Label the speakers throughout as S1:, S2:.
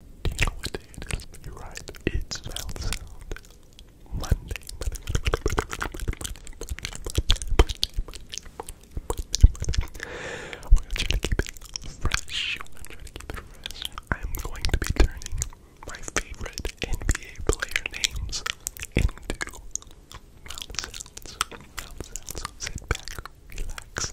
S1: you it is? You're right. It's Sound Sound Monday. Monday, Monday, Monday, to keep it fresh. I'm going to be turning my favorite NBA player names into mouth sounds. Mouth sounds. Sit back, relax,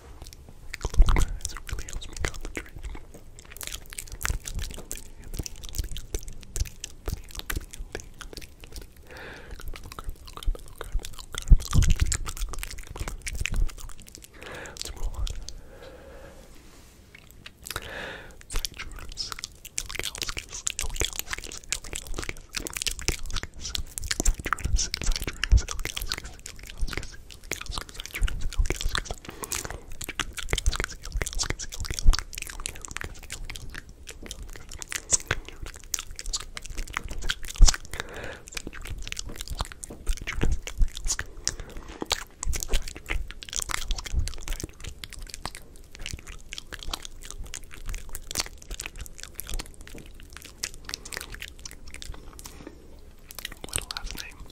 S1: It really helps me concentrate. Let's move on. Cytrus, Elgalskis, Elgalskis, Elgalskis, Elgalskis, Cytrus, Cytrus, Elgalskis, Elgalskis, what a last name.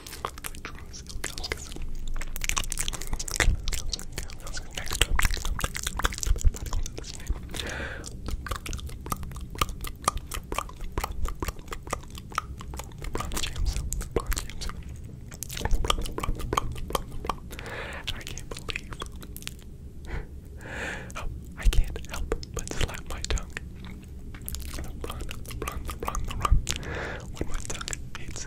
S1: I can't believe oh, I can't help but slap my tongue. When my tongue hits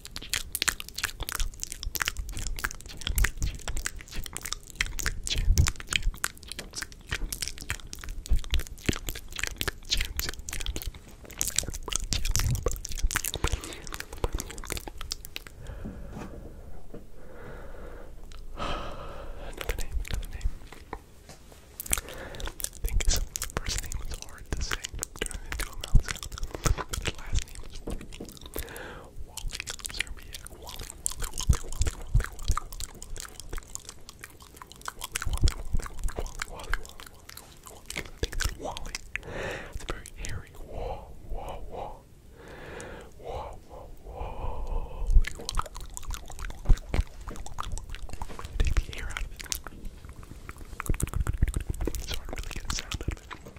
S1: Another name, another name. I think his first name is hard to say, turn into a mouth sound. His last name is Wally, Serbia, Wally, Wally, Wally, Wally, Wally, Wally, Wally, Wally, Wally, Wally, Wally, I think it's Wally. It's very hairy. Whoa, whoa, whoa. Whoa, whoa, whoa. Take the air out of it. So I really get a sound out of it.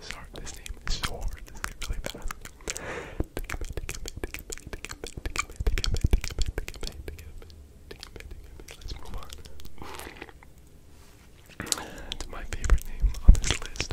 S1: Sorry, this name is so really fast. Let's move on to my favorite name on this list.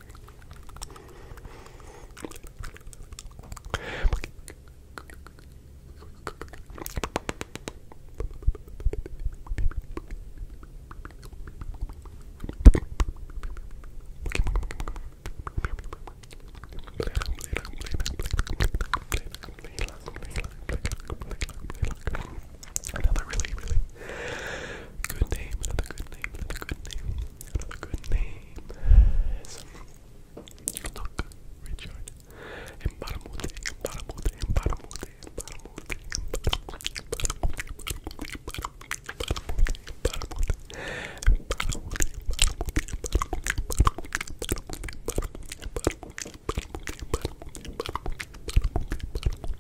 S1: Another really, really Good name, another good name, another good name, another good name. Yes. Look, Richard. Embaramute, embaramute, embaramute, embaramute,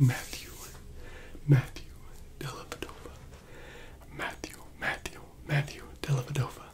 S1: Matthew, Matthew Dellavedova, Matthew, Matthew, Matthew Dellavedova,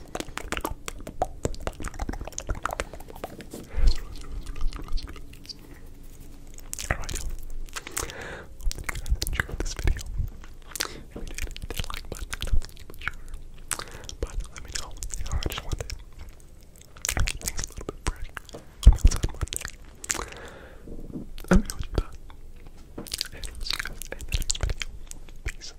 S1: Alright, hope that you guys this video. If you did, hit that like button, sure. But let me know. I just wanted to keep things a little bit fresh. Let me know what you thought. see you guys in the next video. Peace.